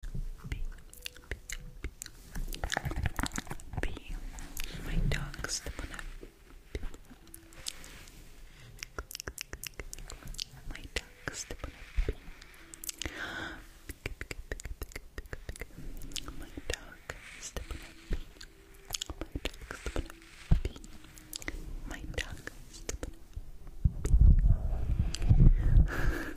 B. My dog's the one My dog's the one My dog the one My dog the one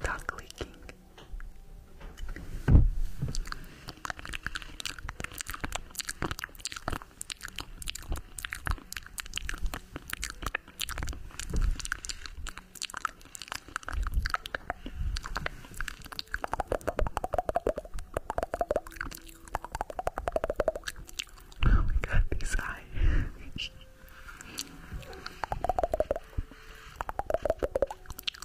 tongue leaking. Oh my god, these eyes.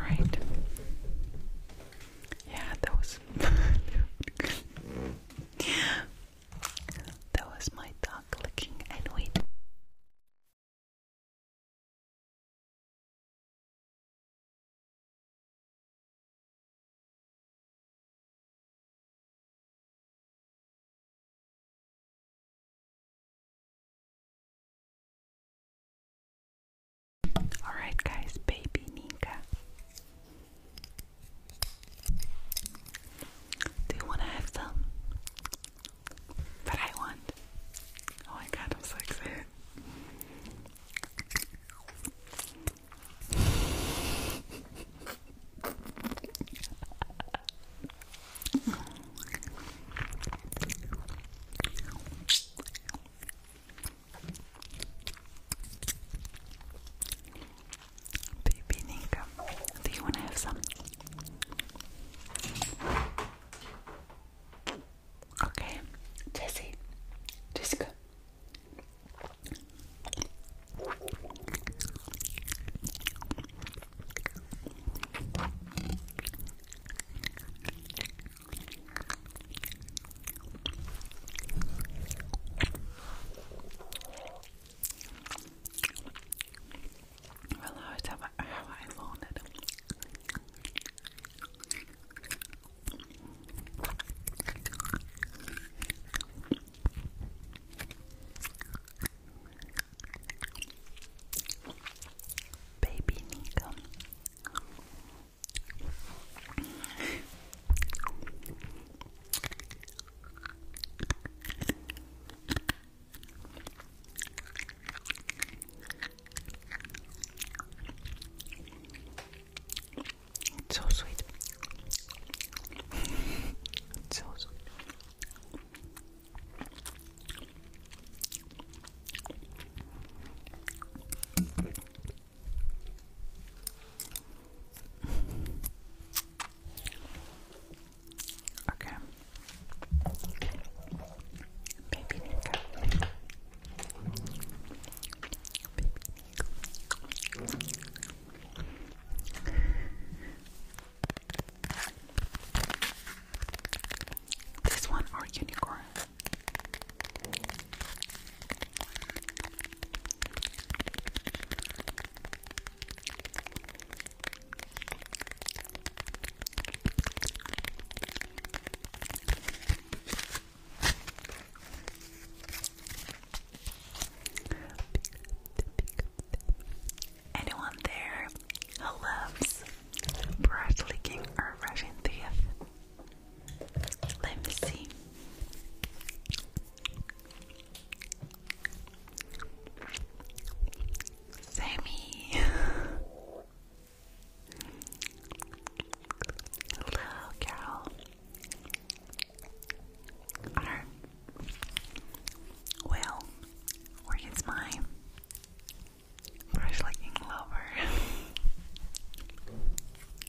Right. Yeah, that was that was my dog looking and Alright, guys, baby Ninka. Do you want to have some? that I want. Oh my god, I'm so excited. Baby do you want to have some? Okay, Jesse, Jessica realized how I, how I wanted. Baby Nico. It's so sweet. so sweet. Okay. Baby This one or unicorn. Anyone there who loves brush or brushing teeth? Let me see. Sammy. Hello, Carol. Arr. Well, where is my brush licking lover?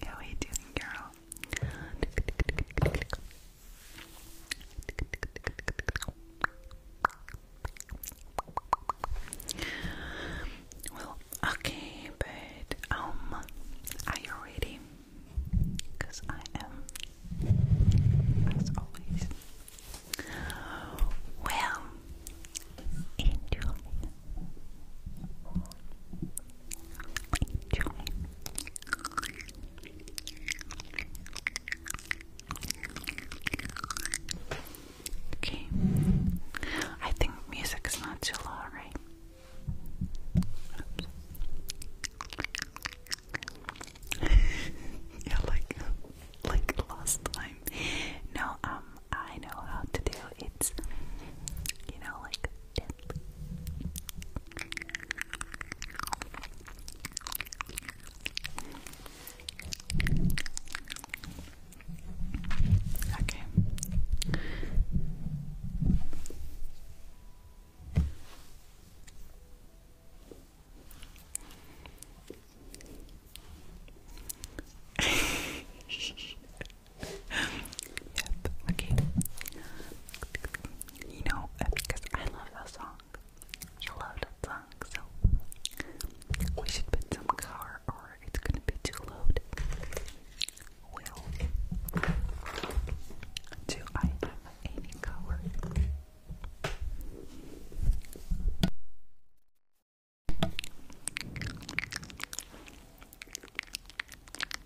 How are you doing, Carol? Well, okay, but um, are you ready? Because I am, as always. Well, enjoy, enjoy. Okay. I think music is not too low, right? yeah, like like last time. No, um, I know how to do it's you know like Okay. yep, okay you know, uh, because I love that song. I love that song, so we should put some car or it's gonna be too loud. Well, do I have any color?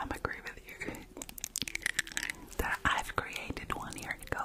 I'm agree with you that I've created one year ago.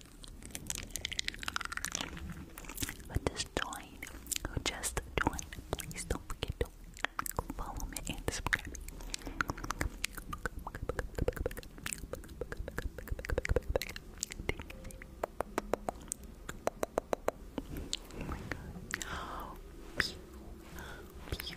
But just Just join. Please don't forget to follow me and subscribe. Oh my god. Thank you.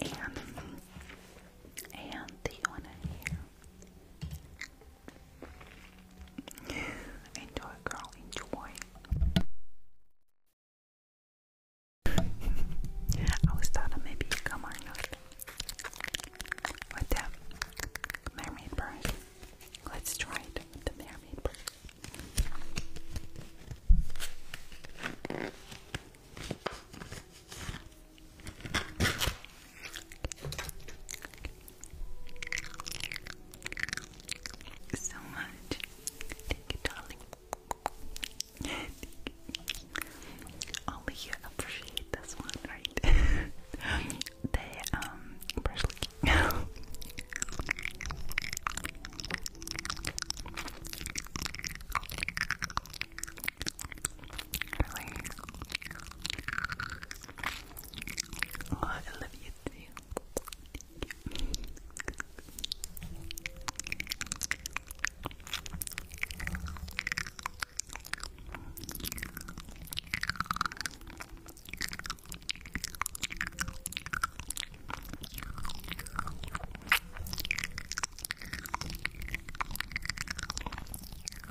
And and the one in here. Enjoy, girl, enjoy. I was thought maybe come or not. With mermaid bird. Let's try it with the mermaid bird so much. Thank you, darling. Only you appreciate this one, right? they um Oh, I love you too. Thank you.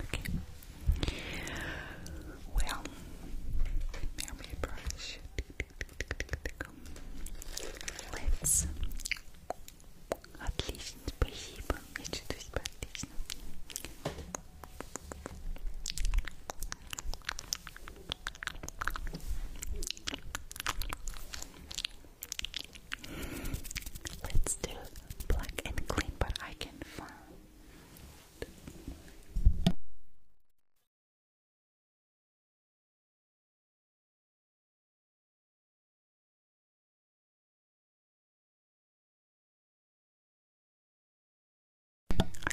Okay. Well, memory brush. Let's. Отлично, спасибо. Я чувствую себя отлично. Let's do black and clean, but I can find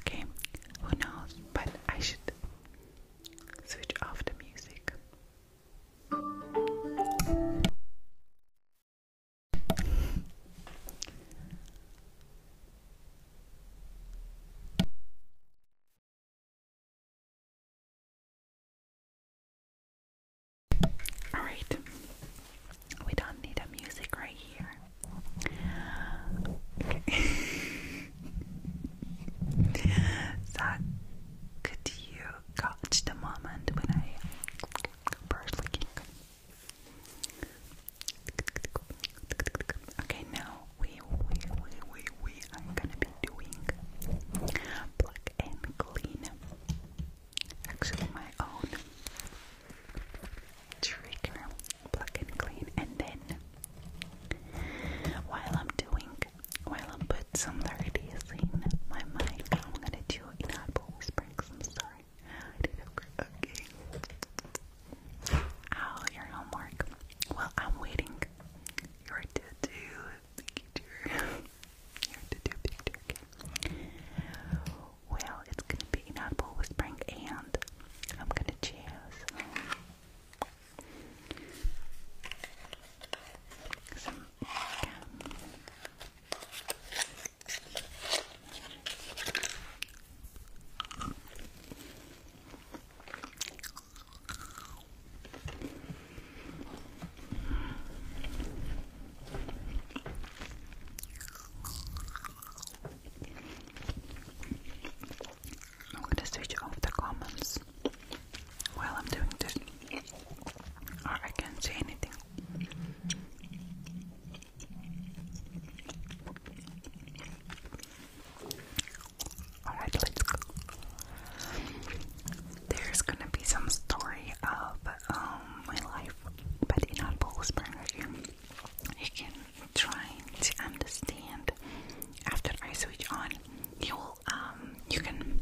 Okay, who knows? But I should switch off the music. All right, we don't need a music right here. so, could you catch the moment when I brush licking. Okay, now we, we, we, we, we are gonna be doing pluck and clean. Actually, my own trigger, pluck and clean, and then while I'm doing, while I put some 30s in my mic, I'm gonna do doing that, Bowl I'm sorry. okay. Oh, your homework. Well, I'm waiting. Your to-do picture. your to-do picture, Well, it's gonna be an apple whispering and I'm gonna choose I'm going to switch off the comments while I'm doing this. I can't see anything. Alright, let's go. There's gonna be some story of um, my life, but in Apple Springers, you can try to understand. After I switch on, you will um, you can